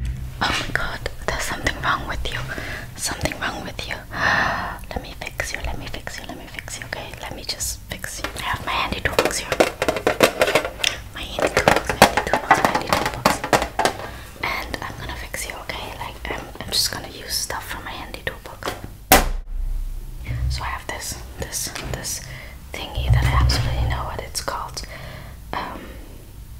Oh my god, there's something wrong with you. Something wrong with you. Let me fix you, let me fix you, let me fix you, okay? Let me just fix you. I have my handy toolbox here. My handy toolbox, my handy toolbox, my handy toolbox. And I'm gonna fix you, okay? Like, I'm, I'm just gonna use stuff from my handy toolbox. So I have this, this, this thingy that I absolutely know what it's called. Um,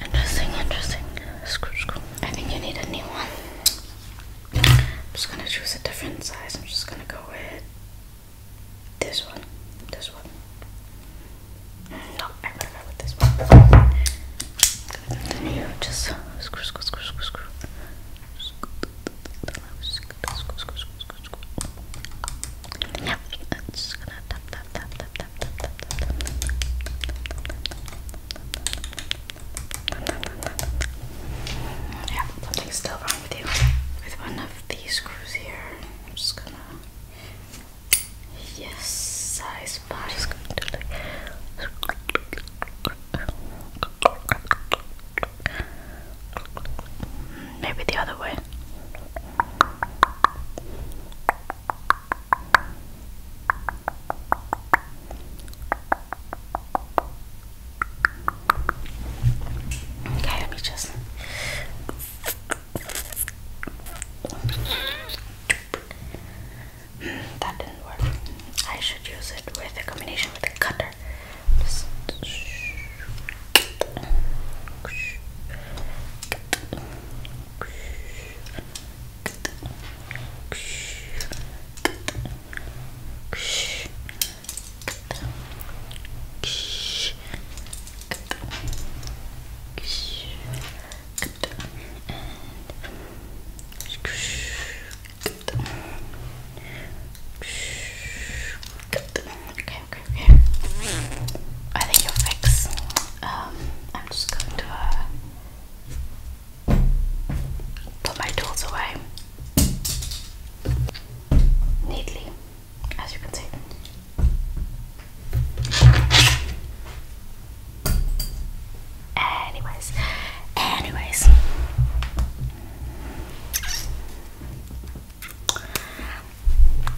Interesting, interesting. I think you need a new one. I'm just gonna choose a different size. I'm just gonna go with this one. This one. No, I'm go with this one. I'm Just screw, screw, screw, screw, screw. It's gonna tap tap tap tap tap tap tap tap Yeah, something's still wrong with you. With one of these screws here. I'm just gonna Yes, I spy. Just going to like Maybe the other way. Okay, let me just that didn't work. I should use it with a combination with a cutter. Okay, okay, okay. I think you'll fix. Um, I'm just going to uh, put my tools away neatly, as you can see. Anyways, anyways,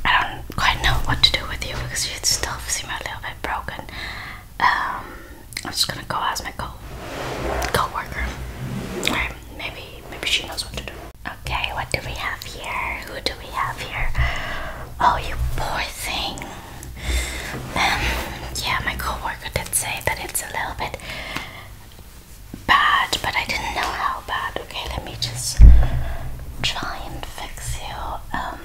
I don't quite know what to do with you because you still seem a little bit broken. Um, I'm just gonna go ask my co co-worker. maybe maybe she knows what to do. Okay, what do we have here? Who do we have here? Oh, you poor thing. Um, yeah, my co-worker coworker say that it's a little bit bad, but I didn't know how bad. Okay, let me just try and fix you. Um,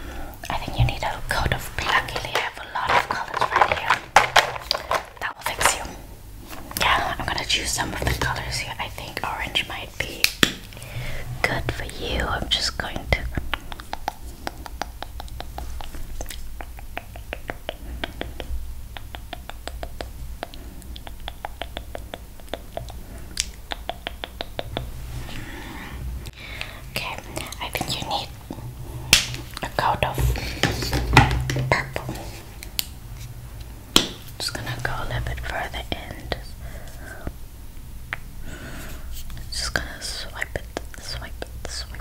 I think you need a coat of luckily I have a lot of colors right here. That will fix you. Yeah, I'm gonna choose some of the colors here. I think orange might be good for you. I'm just going to Okay, I think you need a coat of purple. Just gonna go a little bit further in. Just, gonna swipe it, swipe it, swipe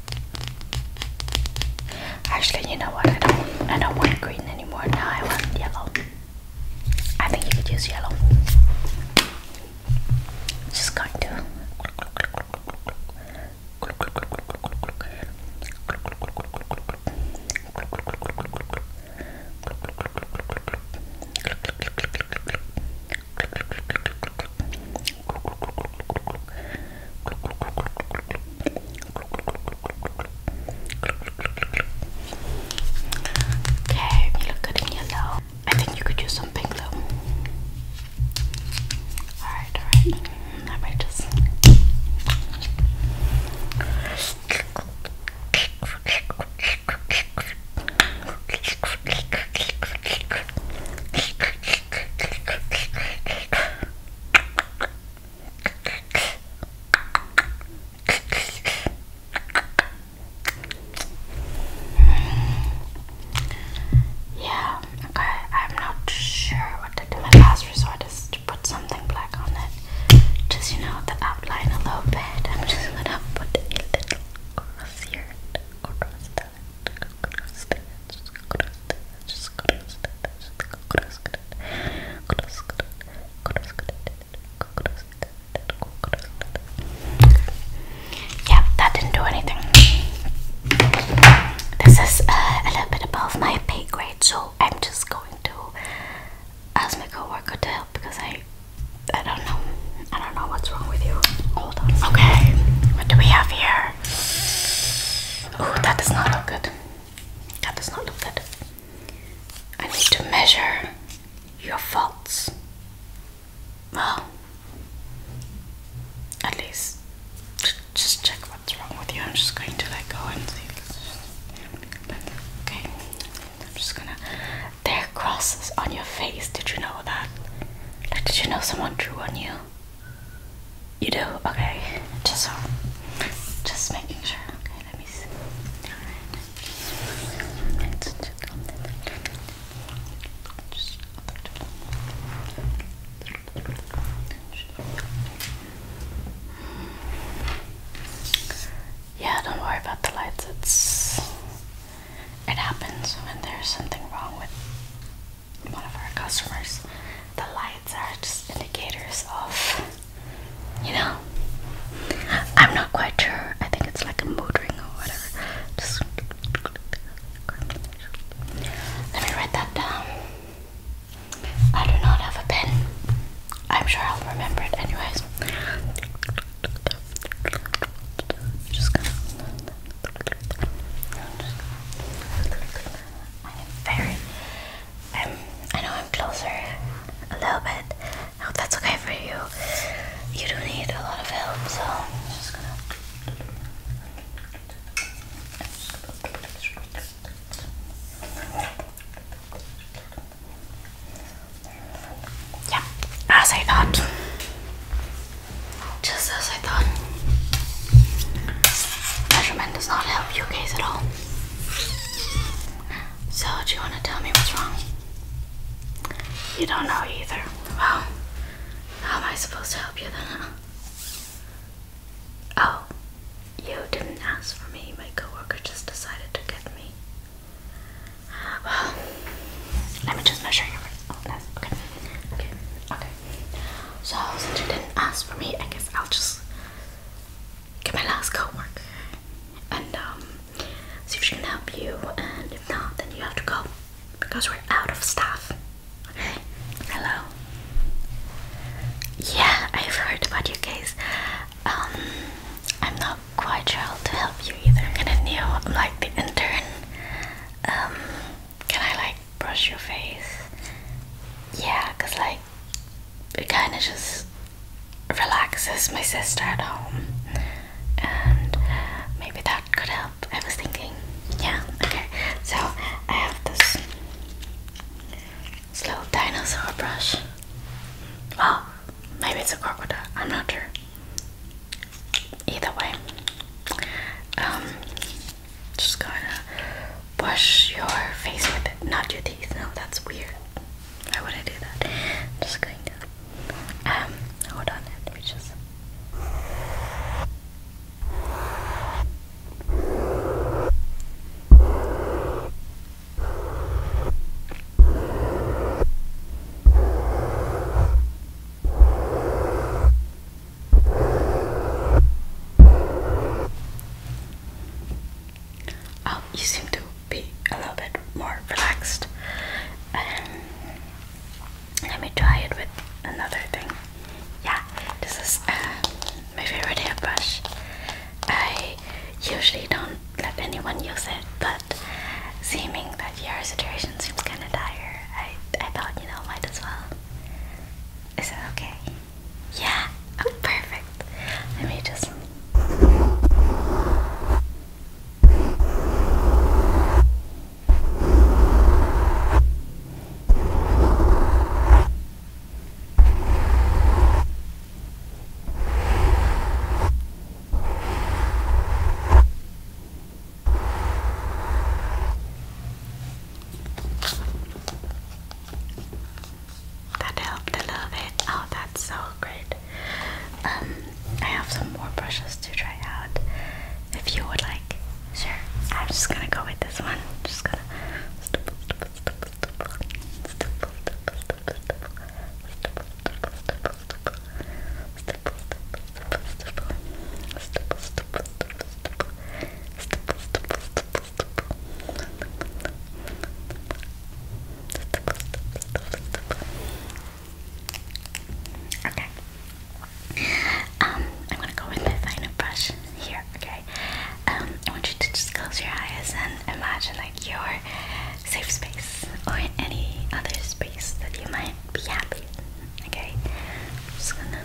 Actually, you know what? I don't. I don't want green anymore. Now I want yellow. I think you could use yellow. Just going to. Okay, you look good in yellow. I think you could use some pink though. Alright, alright. I might just. Yeah, okay, I'm not sure what to do. My last resort is put something black on it. Just, you know, the outline a little bit. I'm just gonna put a little cross here, cross that, yeah, that didn't do anything. This is uh, a little bit above my pay grade, so I'm just going to ask my coworker to help because I, I don't know, I don't know what's wrong with you. Okay, what do we have here? Oh, that does not look good. That does not look good. I need to measure your faults. Well, at least just check what's wrong with you. I'm just going to let go and see. Okay, I'm just gonna. There are crosses on your face. Did you know that? Like, did you know someone drew on you? You do? Okay. Just um, just making sure. Okay, let me see. Alright. Just yeah, don't worry about the lights. It's it happens when there's something wrong with one of our customers. The lights are just indicators of, you know, I'm not quite sure. I think it's like a mood ring or whatever. Just let me write that down. I do not have a pen. I'm sure I'll remember it anyways. I am very. i know I'm closer a little bit. I hope that's okay for you. You do need a lot of help, so I'm just gonna. Yeah, as I thought. Just as because measurement does not help you guys at all. So, do you want to tell me what's wrong? You don't know either. Well, how am I supposed to help you then? Oh, you didn't ask for me. My coworker just decided to get me. Well, let me just measure your. Oh, okay. Okay. Okay. So since you didn't ask for me, I guess I'll just get my last co-worker and um, see if she can help you. And if not, then you have to go because we're out of staff. Okay. Hello. Yeah, I've heard about you guys. Um, I'm not quite sure how to help you either. I'm kind of new. like the intern. Um, can I like brush your face. Yeah, cause like it kind of just relaxes my sister at home, and maybe that could help. I was thinking, yeah, okay. So I have this, this little dinosaur brush. Oh, maybe it's a crocodile. I'm not sure. Either way, um, just going to brush your face with it, not your teeth. No, that's weird. I wouldn't do that. I'm just going to. Um, hold on, let me just. Oh, you seem to be a little bit more relaxed. Um, let me try it with another thing. Yeah, this is uh, my favorite hairbrush. I usually don't let anyone use it, but seeming that your situation seems kind of dire, I, I thought, you know, might as well is that okay? Yeah. Oh, perfect. Let me just. That helped a little bit. Oh, that's so great. Um, I have some more brushes to try out. If you would like, sure. I'm just gonna go with this one. Just gonna. Okay. Um, I'm gonna go with my final brush here, okay? Um, I want you to just close your eyes and imagine like your safe space or any other space that you might be happy okay? I'm just gonna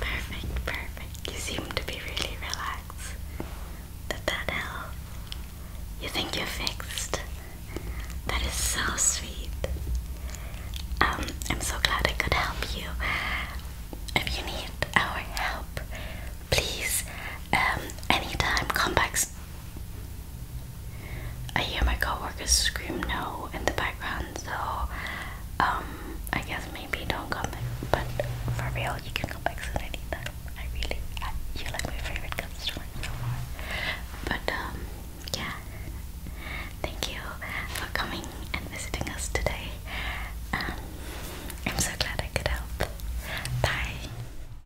Perfect, perfect. You seem to be really relaxed. Did that help? You think you're fixed? That is so sweet. Um, I'm so glad I could help you. If you need our help, please, um, anytime come back I hear my coworkers scream no in the background, so um, I guess maybe don't come back. But for real, you can come back soon anytime. I really, I, you're like my favorite customer so far. But um, yeah, thank you for coming and visiting us today. Um, I'm so glad I could help. Bye.